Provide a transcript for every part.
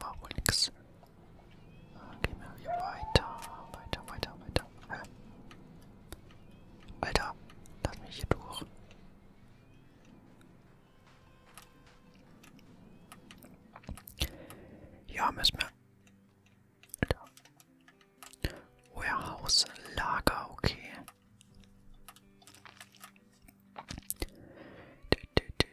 War wohl nix. Dann gehen wir hier weiter, weiter, weiter, weiter. Hä? Alter, lass mich hier durch. Ja, müssen wir. Alter. Warehouse, Lager, okay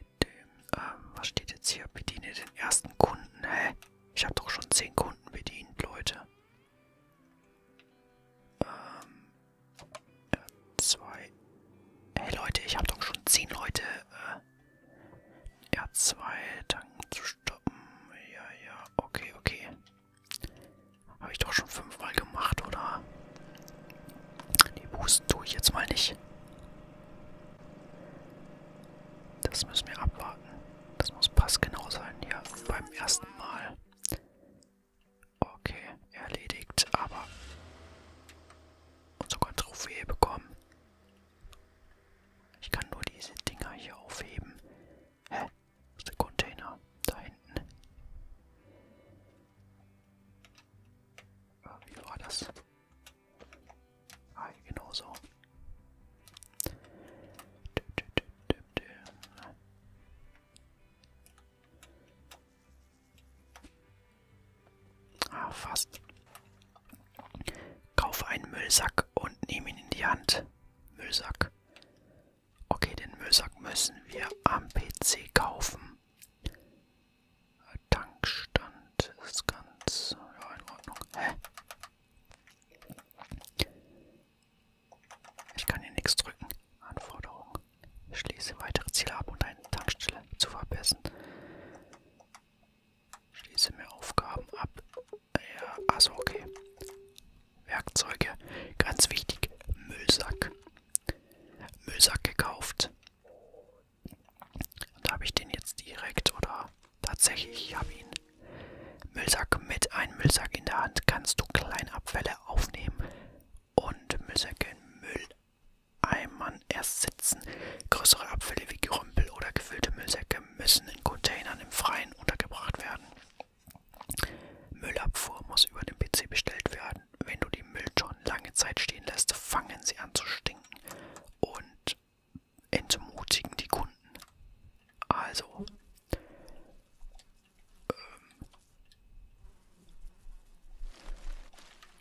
dem, ähm, was steht jetzt hier? Bediene den ersten Kunden. Hä? Ich habe doch schon 10 Kunden bedient, Leute. Ähm, äh, äh, ja, zwei. Hey Leute, ich habe doch schon 10 Leute. Äh, R2, Tanken zu stoppen. Ja, ja, okay, okay. Habe ich doch schon fünfmal gemacht, oder? Die Boosten tue ich jetzt mal nicht. Das müssen wir abwarten. Das muss passgenau sein hier beim ersten Mal. Okay, erledigt, aber und sogar Trophäe bekommen. Ich kann nur diese Dinger hier aufheben. Hä? Das ist der Container da hinten. Äh, wie war das? Ah, genau so. Ah, fast. Kauf einen Müllsack und nimm ihn in die Hand. Müllsack. Okay, den Müllsack müssen wir am PC kaufen. Tankstand ist ganz ja, in Ordnung. Hä? Ich kann hier nichts drücken. Anforderung. Ich schließe weitere Ziele ab, um deine Tankstelle zu verbessern. Schließe mir Aufgaben ab. Ja, also okay. Werkzeuge. Ganz wichtig. Müllsack. Müllsack gekauft. Und da habe ich den jetzt direkt oder tatsächlich, ich habe ihn. Müllsack mit einem Müllsack in der Hand kannst du Kleinabfälle aufnehmen und Müllsäcke in Mülleimern ersetzen. Größere Abfälle wie Gerümpel oder gefüllte Müllsäcke müssen in Containern im Freien untergebracht werden. Müllabfuhr muss über den PC bestellt werden wenn du die Mülltonnen lange Zeit stehen lässt, fangen sie an zu stinken und entmutigen die Kunden. Also, ähm,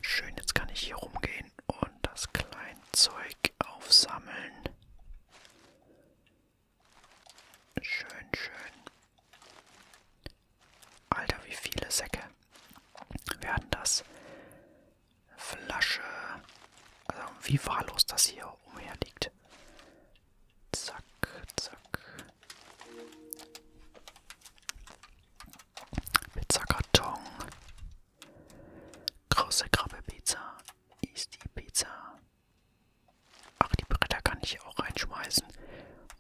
schön, jetzt kann ich hier rumgehen und das Kleinzeug aufsammeln. Schön, schön. Alter, wie viele Säcke werden das? Flasche. Also wie wahllos das hier umherliegt. Zack, zack. Pizzakarton. Große Krabbe Pizza ist die Pizza. Ach, die Bretter kann ich auch reinschmeißen.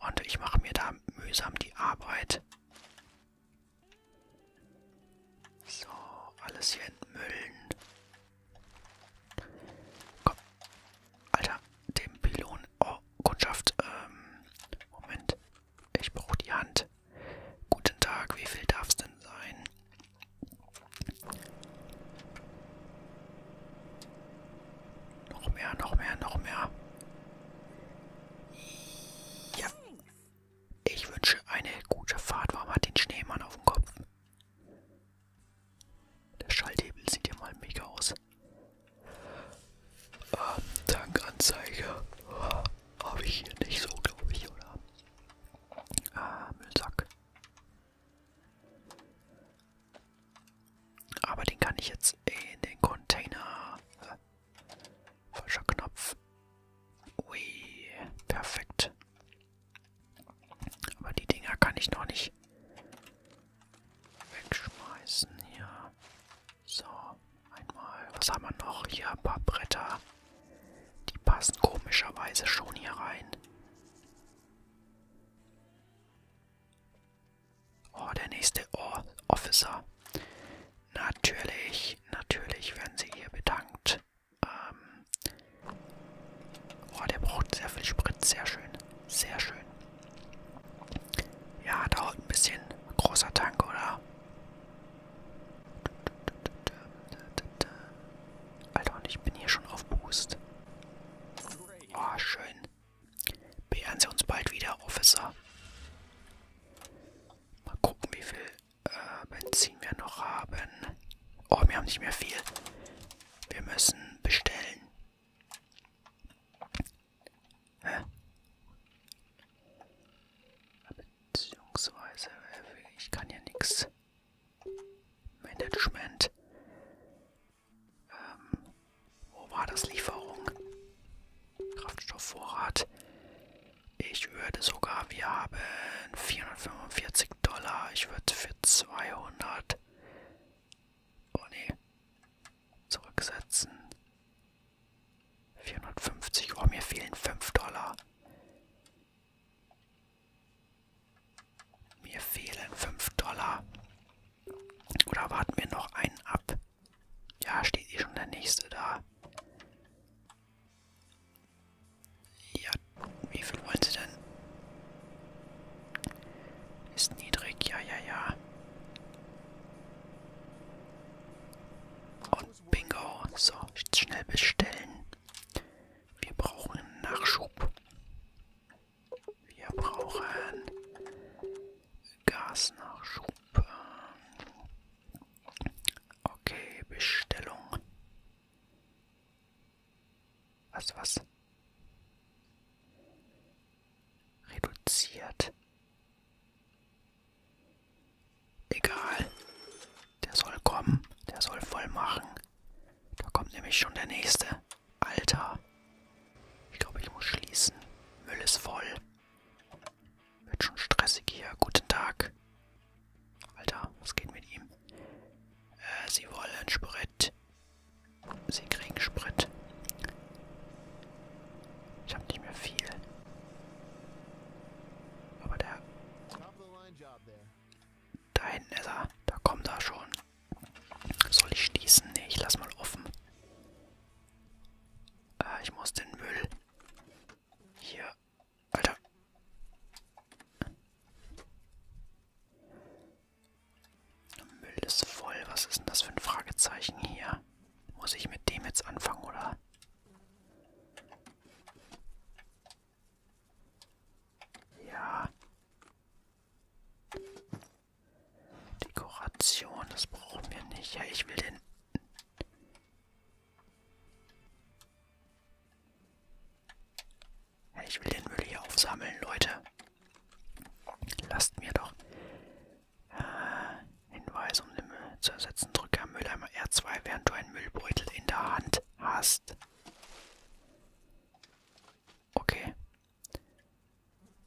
Und ich mache mir da mühsam die Arbeit, so, alles hier entmüllen. Komm. Alter, dem Pylon. Oh, Kundschaft. Ähm, Moment. Ich brauche die Hand. Guten Tag, wie viel darf es denn sein? Noch mehr, noch mehr, noch mehr. Ja. Ich wünsche eine gute Fahrt. Warum hat den Schneemann auf dem Kopf? Der Schalthebel sieht ja mal mega aus. Ähm, Tankanzeige. Oh, Habe ich hier nicht so, glaube ich, oder? Ah, Müllsack. Aber den kann ich jetzt in den Container äh, Falscher Knopf. Ui, perfekt. Aber die Dinger kann ich noch nicht wegschmeißen hier. So, einmal. Was haben wir noch? Hier ein paar Bretter. Die passen komischerweise schon hier rein. Oh, der nächste oh, Officer. Natürlich, natürlich werden sie hier bedankt. Ähm oh, der braucht sehr viel Sprit. Sehr schön, sehr schön. Ja, dauert ein bisschen. Großer Tank, oder? Alter, und ich bin hier schon auf Boost. Oh, schön. Beehren Sie uns bald wieder, Officer. Mal gucken, wie viel äh, Benzin wir noch haben. Oh, wir haben nicht mehr viel. Wir müssen bestellen. Hä? Beziehungsweise, äh, ich kann ja nichts. Management. Ähm, wo war das Lieferung? Kraftstoffvorrat. Ich würde sogar, wir haben 445 Dollar. Ich würde für 200. Oh ne. Zurücksetzen. 450. Oh, mir fehlen 5 Dollar. Mir fehlen 5 Dollar. Oder warten wir noch einen ab? Ja, steht hier eh schon der nächste da. Ja, wie viel wollen sie denn? Ist niedrig, ja, ja, ja. Und bingo. So, schnell bestellen. Wir brauchen Nachschub. Wir brauchen Gasnachschub. Okay, Bestellung. Was, was? Reduziert. Egal. Der soll kommen. Der soll voll machen. Da kommt nämlich schon der nächste. Alter. Ich glaube, ich muss schließen. Müll ist voll. Wird schon stressig hier. Guten Tag. Alter, was geht mit ihm? Äh, sie wollen Sprit. Sie kriegen Sprit. Ich habe nicht mehr viel. Aber der... Da hinten ist er. Da kommt er schon. Soll ich schließen? Ne, ich lass mal offen. Äh, ich muss den Müll hier. Alter. Müll ist voll. Was ist denn das für ein Fragezeichen hier? Muss ich mit dem jetzt anfangen, oder? Ja. Dekoration, das brauchen wir nicht. Ja, ich will den... Ja, ich will den Müll hier aufsammeln, Leute. Lasst mir doch... Äh, Hinweis, um den Müll zu ersetzen, drücke am Mülleimer R2, während du einen Müllbeutel in der Hand hast. Okay.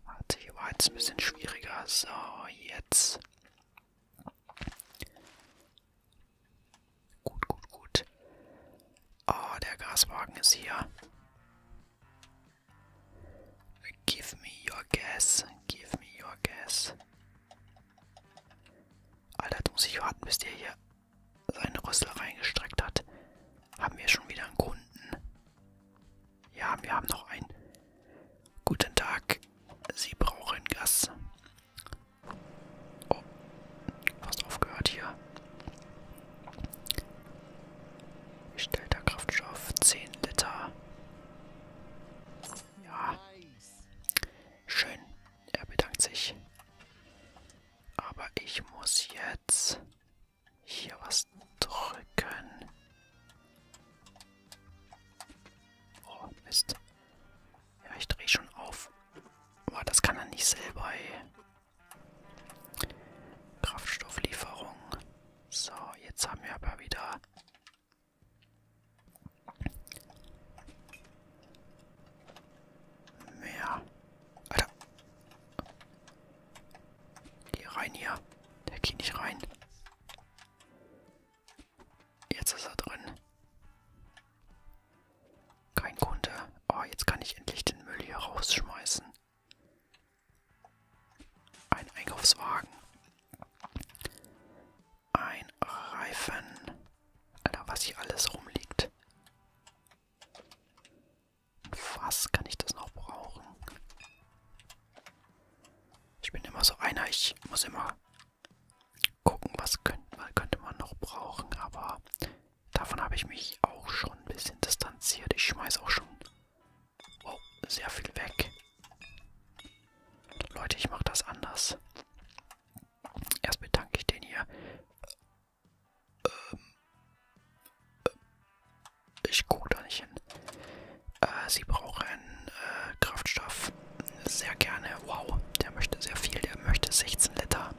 Warte, hier war jetzt ein bisschen schwieriger. So, jetzt. Gut, gut, gut. Oh, der Gaswagen ist hier. Give me your gas. Give me your gas. Alter, jetzt muss ich warten, bis der hier seinen Rüssel reingestreckt hat. Haben wir schon wieder einen Kunden. Ja, wir haben noch einen. Guten Tag. Sie brauchen Gas. Oh, fast aufgehört hier. Bestellter Kraftstoff 10 Liter. Ja. Schön. Er bedankt sich. Aber ich muss jetzt hier was drücken. Oh, Mist. Ja, ich drehe schon auf. Aber das kann er nicht selber, ey. Kraftstofflieferung. So, jetzt haben wir aber wieder... Mehr. Alter. Geh rein hier. Der geht nicht rein. Jetzt ist er drin. Kein Kunde. Oh, jetzt kann ich endlich den Müll hier rausschmeißen. Ein Einkaufswagen. Ein Reifen. Alter, was hier alles rumliegt. Was kann ich das noch brauchen? Ich bin immer so einer, ich muss immer gucken, was könnte man, könnte man noch brauchen, aber davon habe ich mich auch schon ein bisschen distanziert. Ich schmeiß auch schon oh, sehr viel weg. Leute, ich mache das anders. Erst bedanke ich den hier. Ähm, äh, ich gucke da nicht hin. Äh, sie brauchen äh, Kraftstoff. Sehr gerne. Wow, der möchte sehr viel. Der möchte 16 Liter.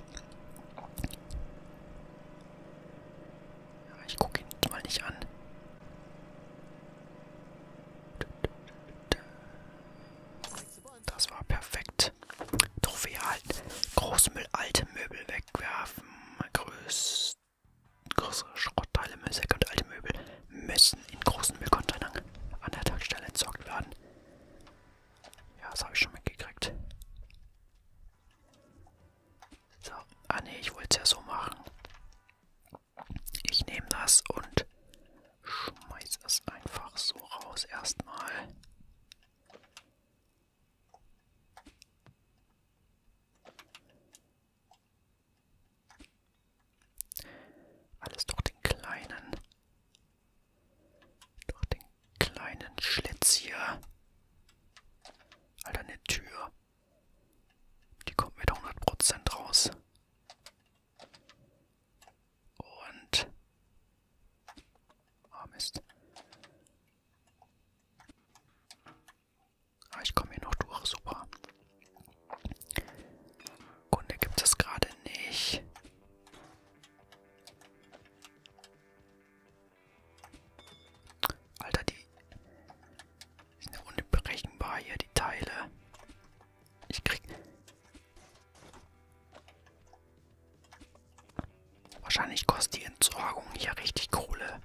Ich gucke ihn mal nicht an. Das war perfekt. Trophäe halten. Großmüll, alte Möbel wegwerfen. Größte. Größere Schrottteile, Müllsäcke und alte Möbel müssen in großen Müllcontainern an der Tankstelle entsorgt werden. Ja, das habe ich schon mitgekriegt. So, ah ne, ich wollte es ja so machen. Ich nehme das und schmeiß es einfach so raus erstmal. Alles durch den kleinen, durch den kleinen Schlitz hier. Alter, eine Tür. Die kommt mit 100% raus. Und... Ah, oh Mist. Aber ah, ich komme hier noch durch, super. Kunde gibt es gerade nicht. Alter, die sind ja unberechenbar hier, die Teile. Ich krieg... Wahrscheinlich kostet die Entsorgung hier richtig Kohle.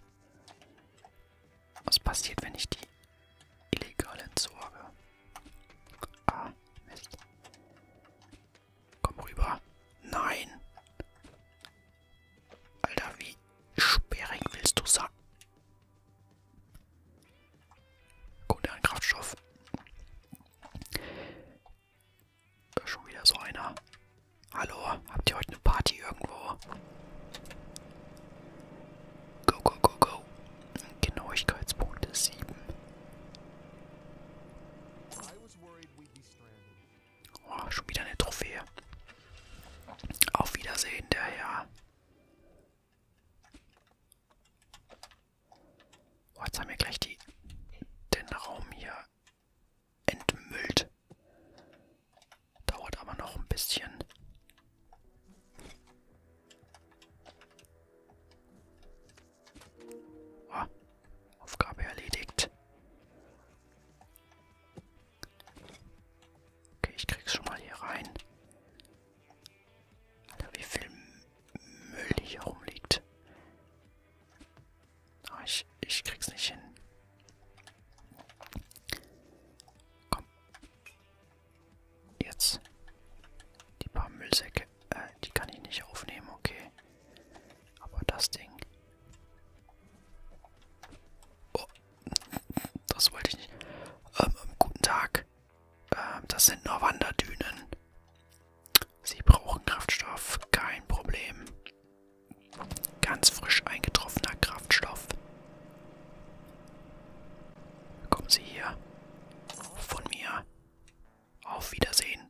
Was passiert, wenn ich die illegal entsorge? Ah, Mist. Komm rüber. Nein. Alter, wie sperrig willst du sagen? Gut, ein Kraftstoff. Äh, schon wieder so einer. Hallo, habt ihr heute eine Party irgendwo? Go, go, go, go. Genauigkeitspunkte 7. Oh, schon wieder eine Trophäe. Auf Wiedersehen, der Herr. Oh, jetzt haben wir gleich die, den Raum hier entmüllt. Dauert aber noch ein bisschen. Ah, Aufgabe erledigt. Okay, ich krieg's schon mal hier rein. Alter, wie viel Müll hier rumliegt. Ah, ich, ich krieg's nicht hin. Komm. Jetzt. Die paar Müllsäcke. Äh, die kann ich nicht aufnehmen, okay. Aber das Ding. Oh. Das wollte ich nicht. Ähm, ähm guten Tag. Ähm, das sind nur Wanderdünen. Sie brauchen Kraftstoff. Kein Problem. Ganz frisch eingetroffener Kraftstoff. Kommen Sie hier. Von mir. Auf Wiedersehen.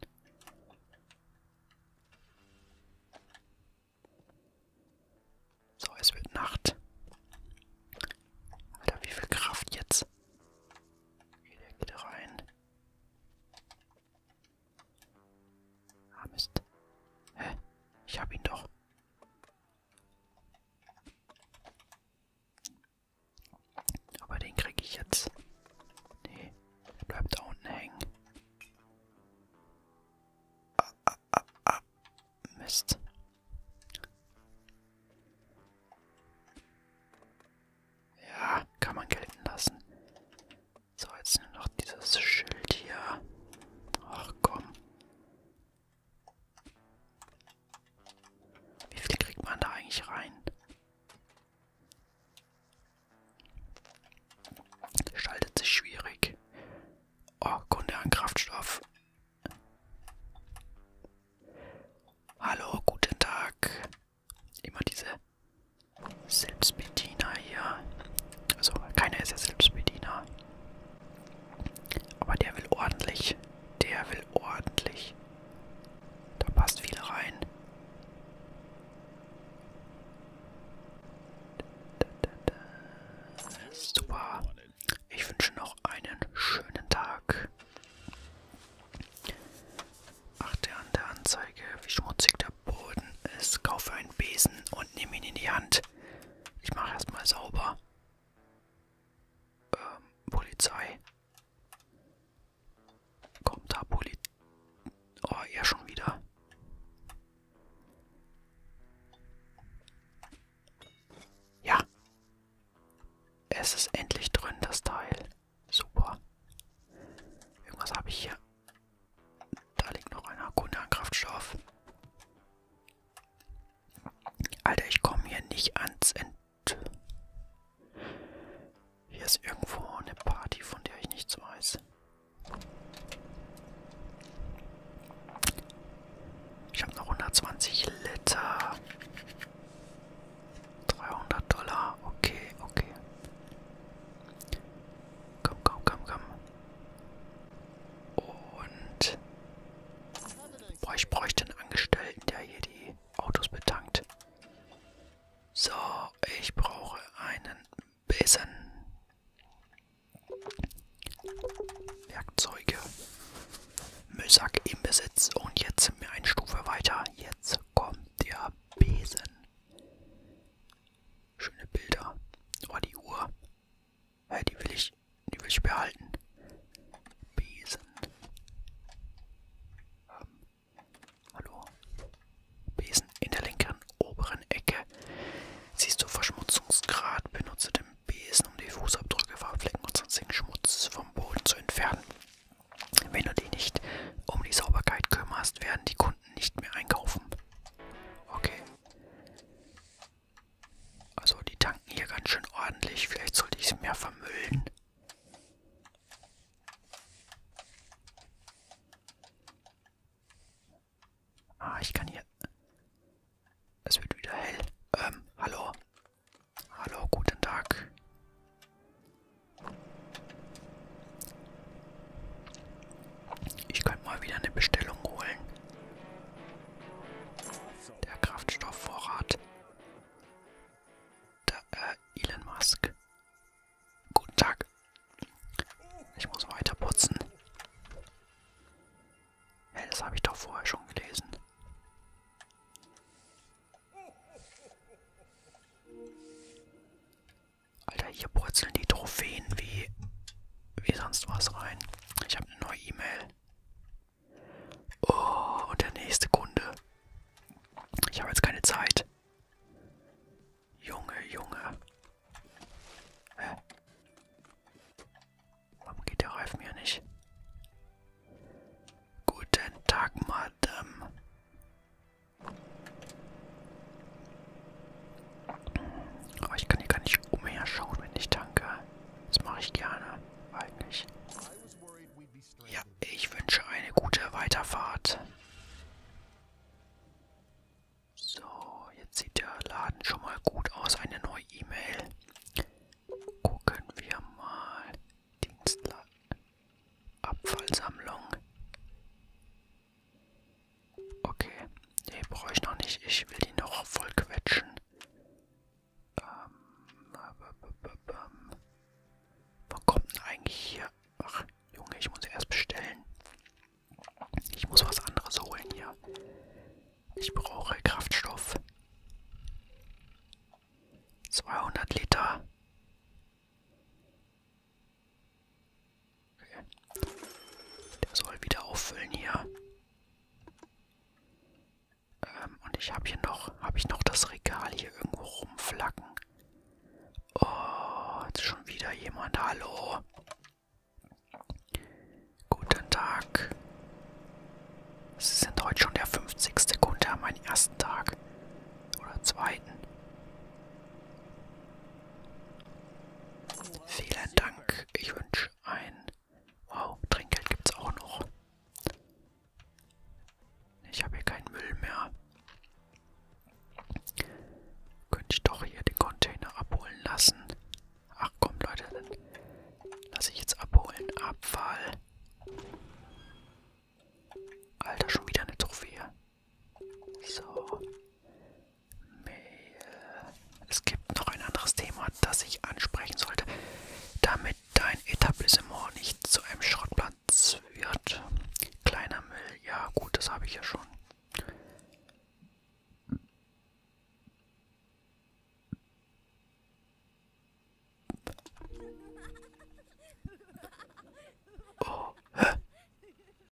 So, es wird Nacht. Alter, wie viel Kraft jetzt? Okay, der geht rein. Ah, Mist. Hä? Ich hab ihn doch. Aber den kriege ich jetzt. Nee, der bleibt da unten hängen. Ah, ah, ah, ah. Mist. Ja, kann man gelten lassen. So, jetzt nur noch dieses Schild hier. Ach komm. Wie viel kriegt man da eigentlich rein? Schaltet sich schwierig. Oh, Kunde an Kraftstoff. Hallo, guten Tag. Immer diese Selbstbediener hier. Also, keiner ist ja Selbstbediener. Aber der will ordentlich. Der will ordentlich. Da passt viel rein. Super. Ich wünsche noch einen schönen Tag. Achte an der Anzeige, wie schmutzig der Boden ist, kaufe einen Besen und nehme ihn in die Hand. Ich mache erstmal sauber. Ähm, Polizei. Kommt da Polizei. Oh, er schon wieder. Ja. Es ist endlich drin, das Teil. Super. Irgendwas habe ich hier da liegt noch ein Hakuna-Kraftstoff. Alter, ich komme hier nicht ans End. Hier ist irgendwo eine Party, von der ich nichts weiß. Ich habe noch 120 Liter. 300 Dollar. Okay, okay. Komm, komm, komm, komm. Und boah, ich bräuchte einen Angestellten, der hier die Autos betankt. So, ich brauche einen Besen. Werkzeuge. Müllsack im Besitz. Und jetzt sind wir eine Stufe weiter. Jetzt kommt der Besen. Schöne Bilder. Oh, die Uhr. Hey, äh, die will ich, die will ich behalten. Besen. Ähm, hallo. Besen in der linken oberen Ecke. Siehst du Verschmutzungsgrad? Benutze den Besen, um die Fußabdrücke, Farbflecken und sonstigen Schmutz vom Boden zu entfernen. Wenn du dich nicht um die Sauberkeit kümmerst, werden die Kunden nicht mehr einkaufen. Okay. Also die tanken hier ganz schön ordentlich. Vielleicht sollte ich es mehr vermüllen. Ah, ich kann hier... Es wird wieder hell. Ähm, hallo. Hallo, guten Tag. Ich könnte mal wieder eine Bestellung holen. Der Kraftstoffvorrat. Der, äh, Elon Musk. Guten Tag. Ich muss weiter putzen. Hey, das habe ich doch vorher schon gelesen. Alter, hier purzeln die Trophäen wie, wie sonst was rein. Ich habe eine neue E-Mail. Oh, und der nächste Kunde. Ich habe jetzt keine Zeit. Junge, Junge. Hä? Warum geht der Reifen hier nicht? Guten Tag, Madame. Aber ich kann hier gar nicht umherschauen, wenn ich tanke. Das mache ich gerne, eigentlich. Ja, ich wünsche eine gute Weiterfahrt. So, jetzt sieht der Laden schon mal gut aus. Eine neue E-Mail. Gucken wir mal. Dienstler. Abfallsammlung. Okay. Nee, brauche ich noch nicht. Ich will die noch voll quetschen. Ähm, Wann kommt denn eigentlich hier? Ach, Junge, ich muss erst bestellen. Ich muss was anderes holen hier. Ich brauche Kraftstoff. 200 Liter. Okay. Der soll wieder auffüllen hier. Ähm, und ich habe hier noch, habe ich noch das Regal hier irgendwo rumflacken. Oh, jetzt schon wieder jemand. Hallo. Guten Tag. Es sind heute schon der 50. Kunde an meinem ersten Tag. Oder zweiten. Vielen Dank. Ich wünsche ein... Wow, Trinkgeld gibt's auch noch. Ich habe hier keinen Müll mehr. Könnte ich doch hier den Container abholen lassen. Ach komm Leute, dann lasse ich jetzt abholen. Abfall. Alter, schon wieder eine Trophäe. So. Mail. Es gibt noch ein anderes Thema, das ich ansprechen sollte, damit dein Etablissement nicht zu einem Schrottplatz wird. Kleiner Müll. Ja, gut, das habe ich ja schon. Oh, hä?